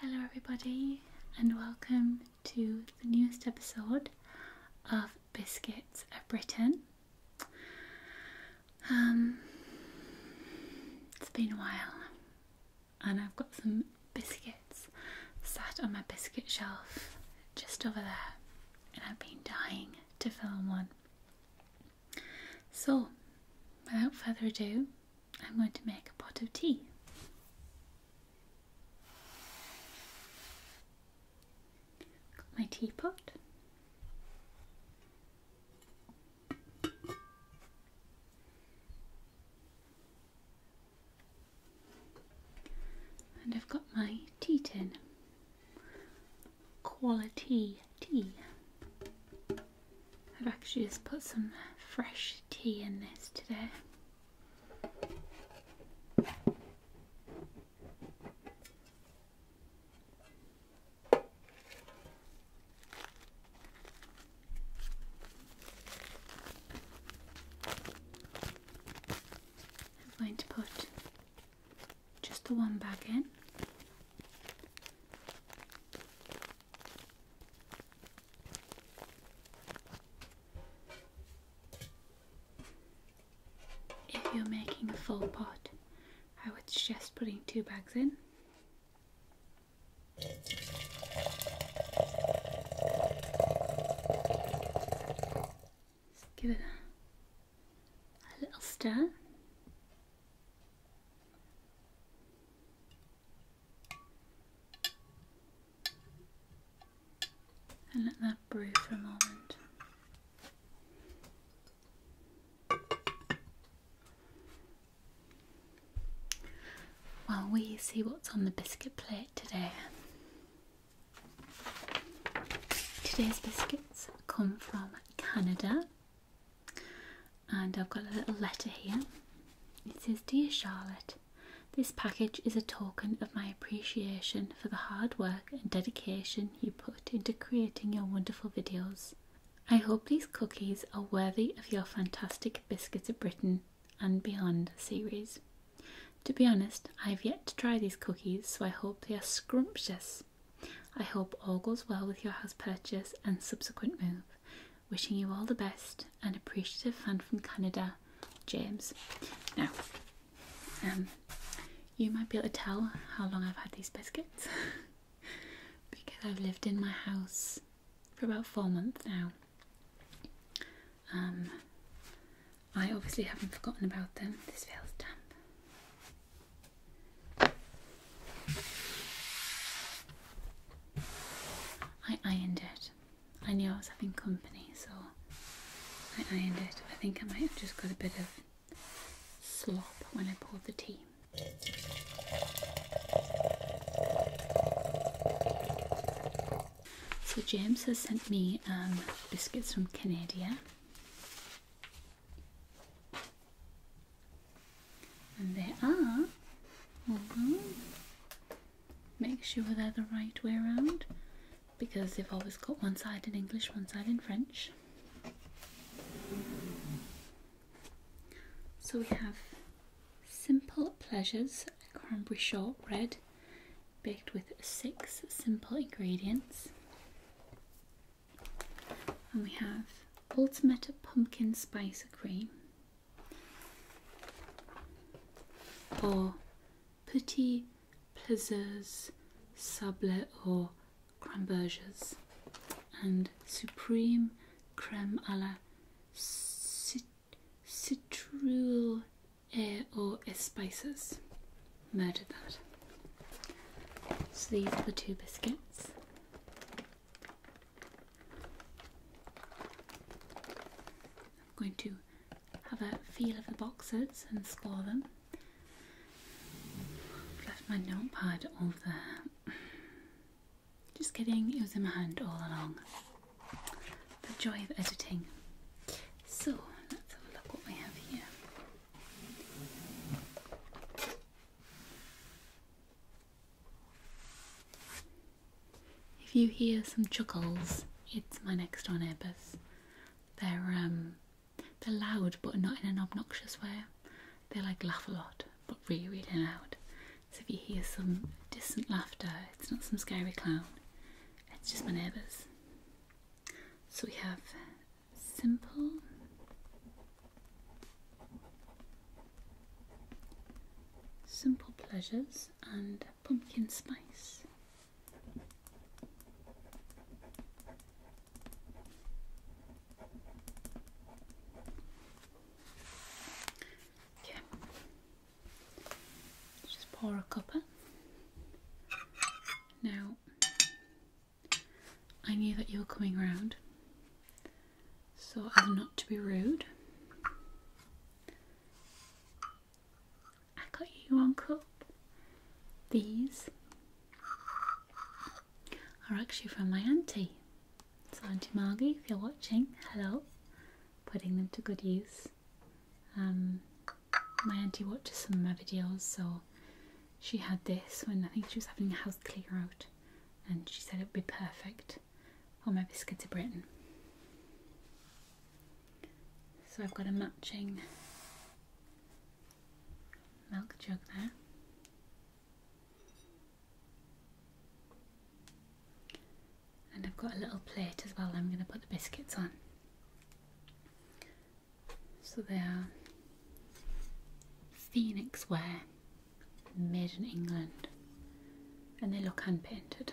Hello, everybody, and welcome to the newest episode of Biscuits of Britain. Um, it's been a while, and I've got some biscuits sat on my biscuit shelf just over there. I've been dying to film one. So, without further ado, I'm going to make a pot of tea. Got my teapot. And I've got my tea tin. Quality tea. I've actually just put some fresh tea in this today. I'm going to put just the one bag in. If you're making a full pot, I would suggest putting two bags in give it a, a little stir. And let that brew for a moment. While we see what's on the biscuit plate today, Today's biscuits come from Canada, and I've got a little letter here. It says, Dear Charlotte, this package is a token of my appreciation for the hard work and dedication you put into creating your wonderful videos. I hope these cookies are worthy of your fantastic Biscuits of Britain and Beyond series. To be honest, I have yet to try these cookies, so I hope they are scrumptious. I hope all goes well with your house purchase and subsequent move. Wishing you all the best, an appreciative fan from Canada, James. Now, um, you might be able to tell how long I've had these biscuits because I've lived in my house for about four months now. Um, I obviously haven't forgotten about them. This feels damp. I ironed it. I knew I was having company, so I ironed it. I think I might have just got a bit of slop when I poured the tea. So James has sent me um, biscuits from Canada, and they are. Make sure they're the right way around because they've always got one side in English, one side in French. So we have Simple Pleasures Cranberry Shortbread baked with six simple ingredients. And we have ultimate pumpkin spice cream or petit plaisirs sable or Cramberges and supreme creme a la cit Citrus, eh, or spices. Murdered that. So these are the two biscuits. I'm going to have a feel of the boxes and score them. I've left my notepad over there. Just kidding, it was in my hand all along the joy of editing. So let's have a look what we have here. If you hear some chuckles, it's my next door neighbours. They're um they're loud but not in an obnoxious way. They like laugh a lot but really really loud so if you hear some distant laughter, it's not some scary clown, it's just my neighbours. So we have simple, simple pleasures and pumpkin spice. Okay, just pour a cuppa. Now, I knew that you were coming round, so as not to be rude, I got you one cup. These are actually from my auntie. So Auntie Margie, if you're watching, hello. Putting them to good use. Um, my auntie watches some of my videos, so she had this when I think she was having a house clear out, and she said it would be perfect for my biscuit to Britain. So I've got a matching milk jug there. And I've got a little plate as well I'm going to put the biscuits on. So they are Phoenix ware, made in England, and they look unpainted.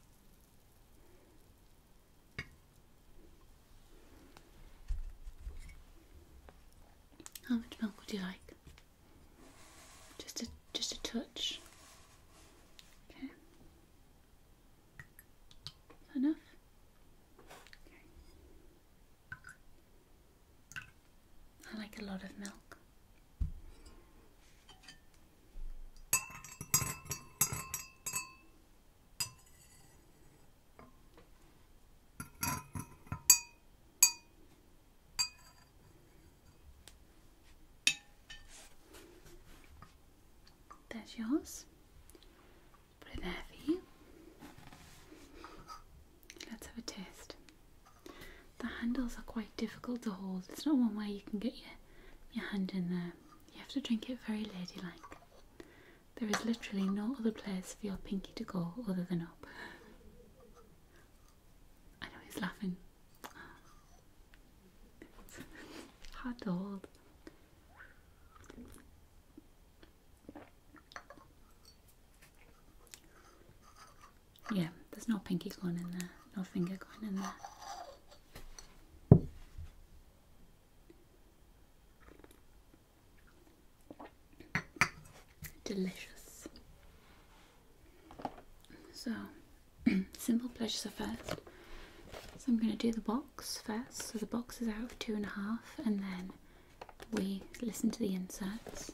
How much milk would you like? Just a just a touch. Okay. enough? I like a lot of milk. That's yours. Put it there for you. Let's have a taste the handles are quite difficult to hold. It's not one way you can get your, your hand in there. You have to drink it very ladylike. There is literally no other place for your pinky to go other than up. I know he's laughing. It's to hold. Yeah, there's no pinky going in there, no finger going in there. Delicious. So, simple pleasures first. So I'm going to do the box first. So the box is out for two and a half, and then we listen to the inserts.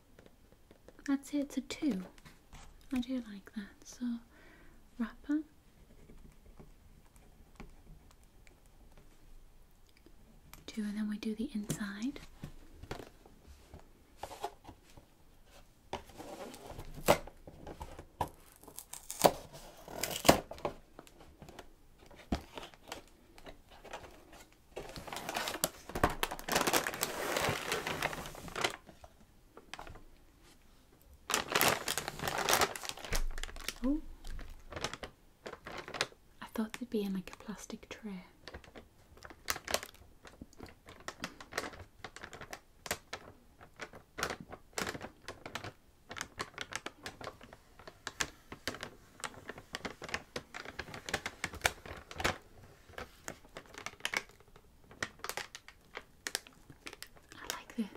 That's it, it's a two. I do like that. So, wrapper. Two, and then we do the inside. Oh, I thought they'd be in like a plastic tray. I like this.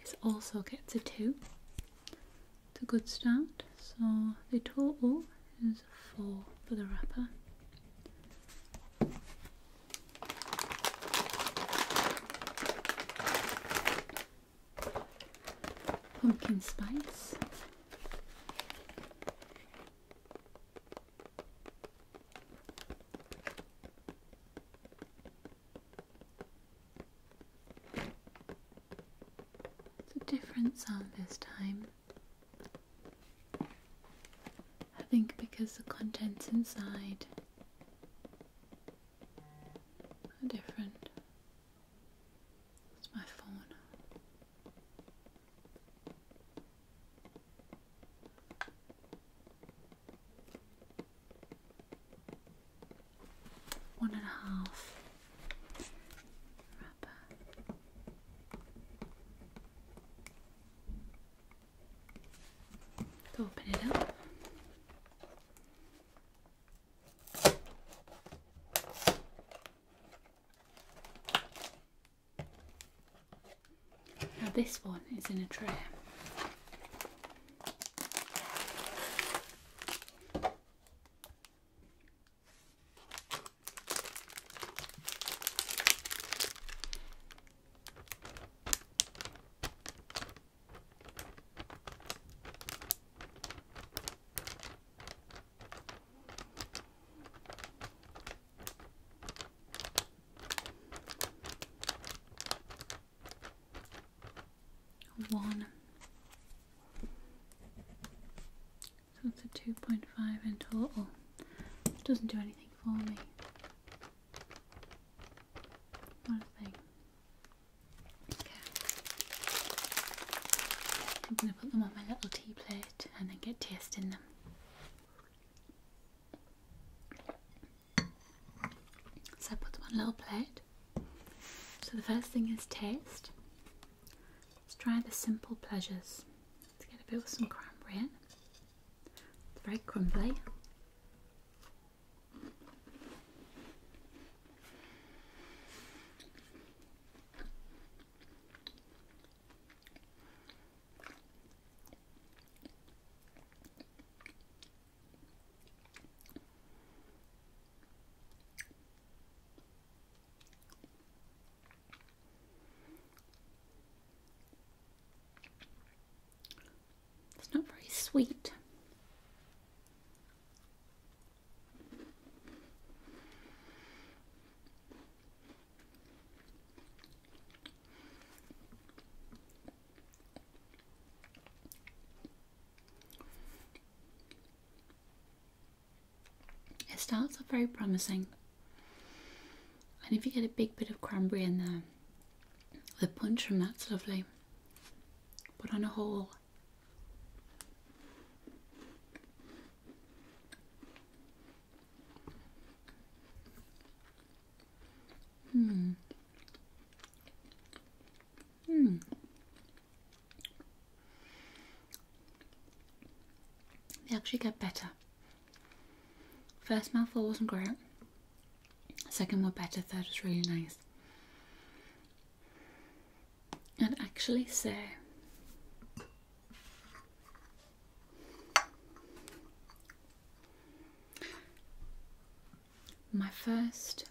This also gets a 2. It's a good start. So the total is 4 for the wrapper pumpkin spice. It's a different sound this time. I think because the contents inside are different. That's my phone. One and a half wrapper. To open it up, now this one is in a tray. One. So it's a 2.5 in total. It doesn't do anything for me. What a thing. I'm going to put them on my little tea plate and then get tasting them. So I put one little plate. So the first thing is taste. Let's try the simple pleasures. Let's get a bit of some cranberry It's very crumbly. It's not very sweet. It starts off very promising, and if you get a big bit of cranberry in there, the punch from that's lovely. But on a whole, Hmm. Hmm. They actually get better. First mouthful wasn't great. Second one better. Third was really nice and actually say my first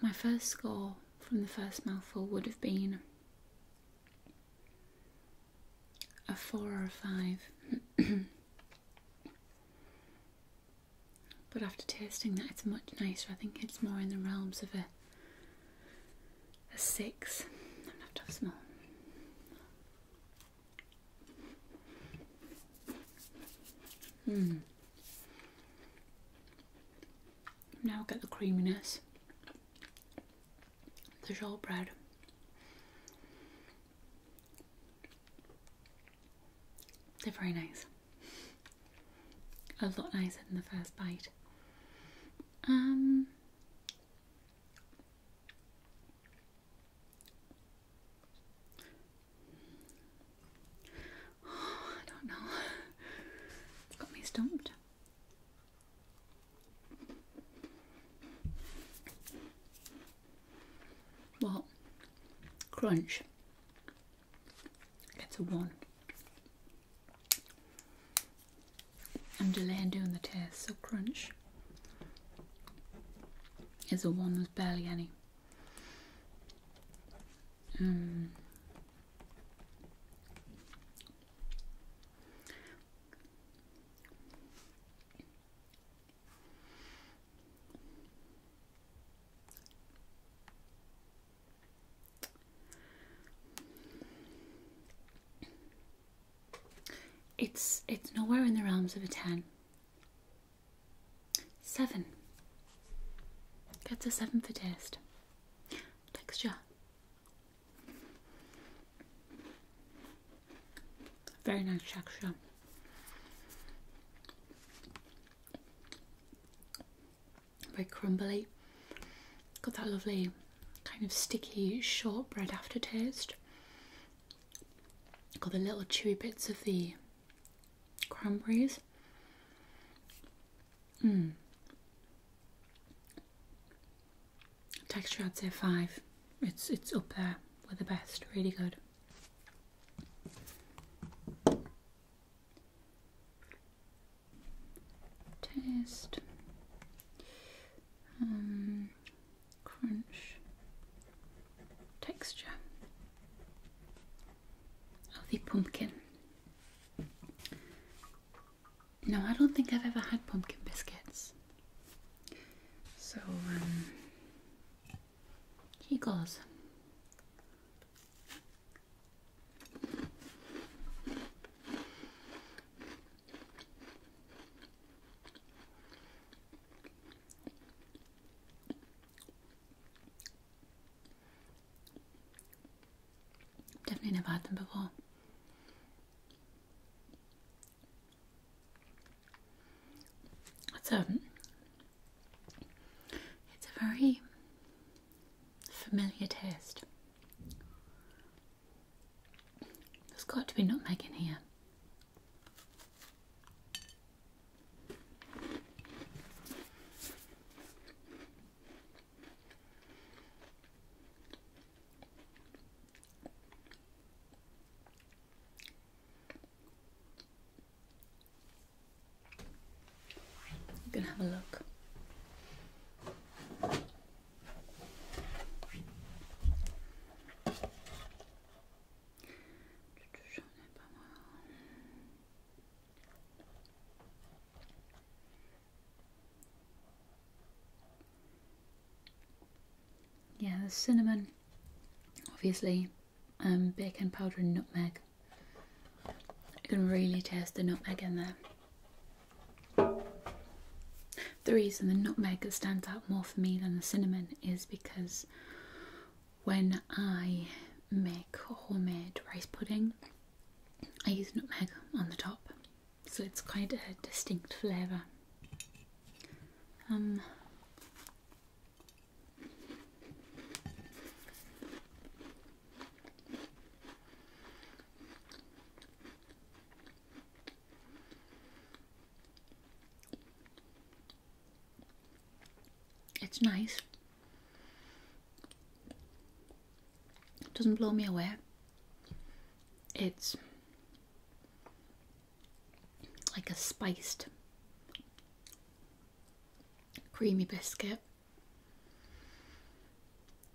my first score from the first mouthful would have been a four or a five But after tasting that, it's much nicer. I think it's more in the realms of a a six. I'm gonna have to have hmm. Now get the creaminess, the shortbread. They're very nice a lot nicer than the first bite. Um, I don't know. got me stumped. What? Crunch. It's a one. I'm delaying doing the test, so crunch is a one with barely any. Um, it's it's nowhere in the realms of a ten. Seven. Gets a seven for taste. Texture. Very nice texture. Very crumbly. Got that lovely kind of sticky shortbread aftertaste. Got the little chewy bits of the cranberries. Hmm. Texture I'd say five. It's it's up there with the best, really good. Test. Um, crunch. Texture of the pumpkin. No, I don't think I've ever had pumpkin biscuits. So, um, he goes. Definitely never had them before. It's a it's a very familiar taste. There's got to be nutmeg in here. You can have a look yeah, there's cinnamon, obviously, um, bacon powder and nutmeg. You can really taste the nutmeg in there. The reason the nutmeg stands out more for me than the cinnamon is because when I make homemade rice pudding, I use nutmeg on the top, so it's quite a distinct flavour. Um, it's nice. It doesn't blow me away. It's like a spiced creamy biscuit.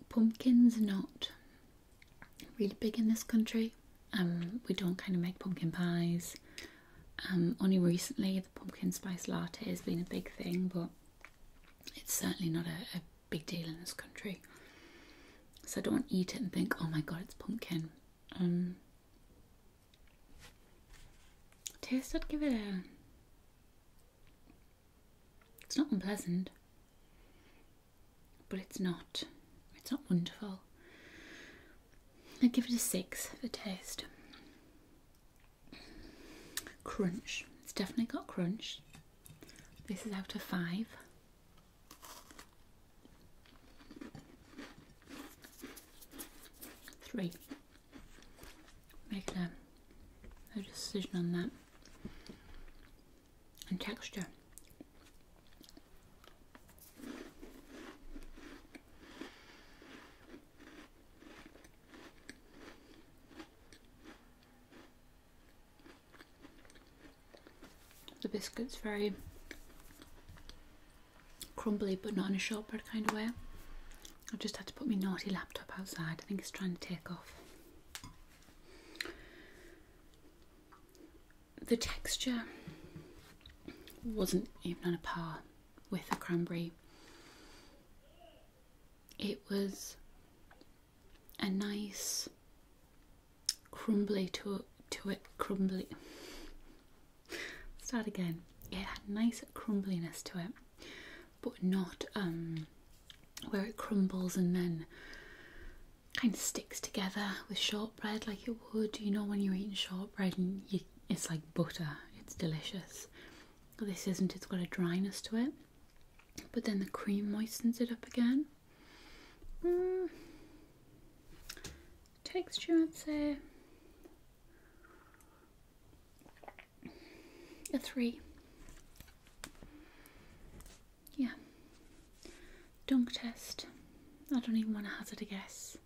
Pumpkin's not really big in this country. Um, we don't kind of make pumpkin pies. Um, only recently the pumpkin spice latte has been a big thing, but it's certainly not a, big deal in this country. So I don't eat it and think, oh my god, it's pumpkin. Um, taste, I'd give it a. It's not unpleasant, but it's not. It's not wonderful. I'd give it a six for taste. Crunch. It's definitely got crunch. This is out of five. Three. Make a, decision on that. And texture the biscuits very crumbly but not in a shortbread kind of way. I just had to put my naughty laptop outside. I think it's trying to take off. The texture wasn't even on a par with the cranberry. It was a nice crumbly to to it crumbly start again it had nice crumbliness to it but not um, where it crumbles and then kind of sticks together with shortbread like it would you know when you're eating shortbread and it's like butter it's delicious this isn't it's got a dryness to it but then the cream moistens it up again Mm. Texture, I'd say a three. Yeah. Dunk test. I don't even want to hazard a guess.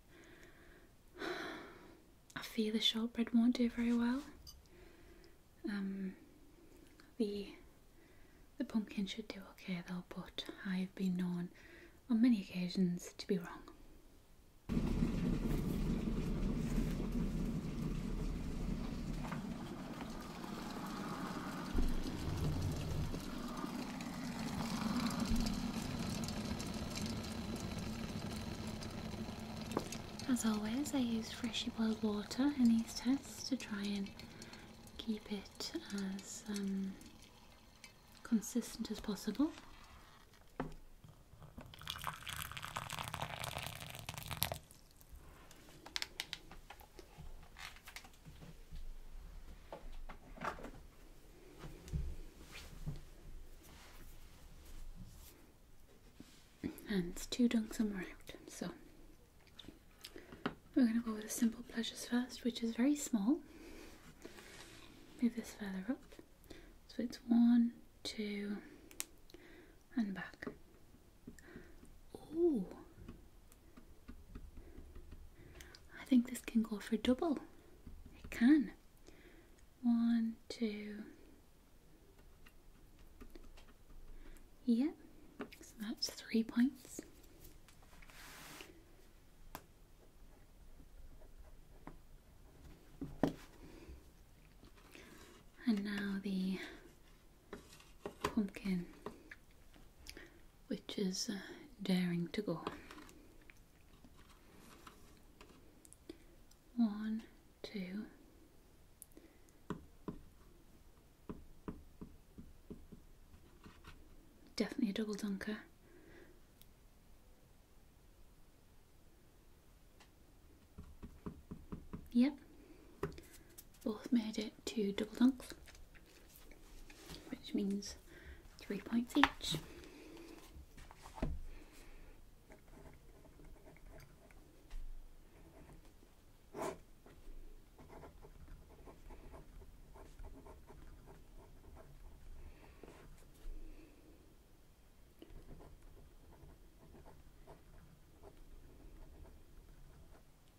I fear the shortbread won't do very well. Um, the the pumpkin should do okay though, but I have been known on many occasions to be wrong. As always, I use freshly boiled water in these tests to try and keep it as um, consistent as possible. And it's two dunks and we're out. So we're going to go with the simple pleasures first, which is very small. Move this further up. So it's one, two, and back. Ooh. I think this can go for double. It can. One, two. Yep. So that's three points. And now the pumpkin, which is uh, daring to go. One, two, Definitely a double dunker. Yep, both made it to double dunks, which means three points each.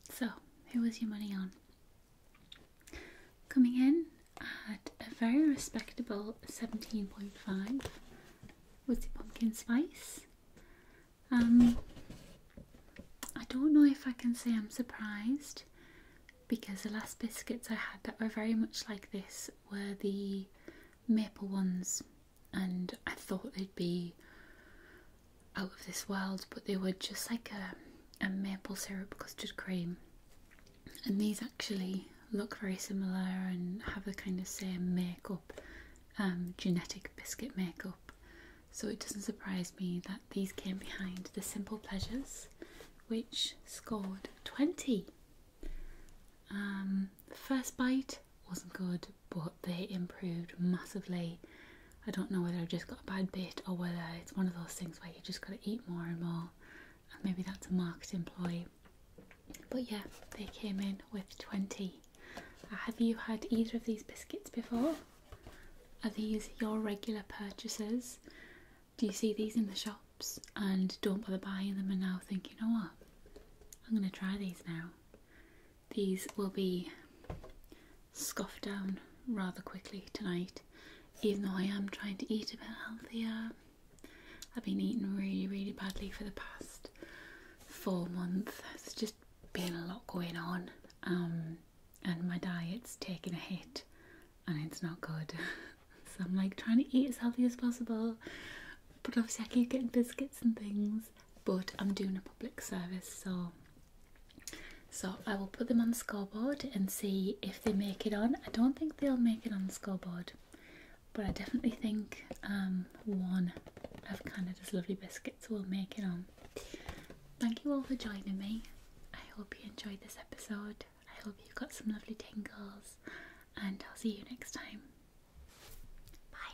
So, who was your money on? Coming in at a very respectable 17.5 was the pumpkin spice, um, I don't know if I can say I'm surprised because the last biscuits I had that were very much like this were the maple ones, and I thought they'd be out of this world, but they were just like a, a maple syrup custard cream. And these actually look very similar and have the kind of same makeup, um, genetic biscuit makeup so it doesn't surprise me that these came behind The Simple Pleasures, which scored 20. Um, the first bite wasn't good, but they improved massively. I don't know whether I've just got a bad bit or whether it's one of those things where you just got to eat more and more, and maybe that's a marketing ploy. But yeah, they came in with 20. Have you had either of these biscuits before? Are these your regular purchases? Do you see these in the shops and don't bother buying them and now think, you know what? I'm going to try these now. These will be scoffed down rather quickly tonight, even though I am trying to eat a bit healthier. I've been eating really, really badly for the past four months. It's just been a lot going on, um, and my diet's taken a hit, and it's not good. so I'm like trying to eat as healthy as possible, but obviously I keep getting biscuits and things. But I'm doing a public service, so so I will put them on the scoreboard and see if they make it on. I don't think they'll make it on the scoreboard, but I definitely think um, one of Canada's lovely biscuits will make it on. Thank you all for joining me. I hope you enjoyed this episode. I hope you got some lovely tingles, and I'll see you next time. Bye.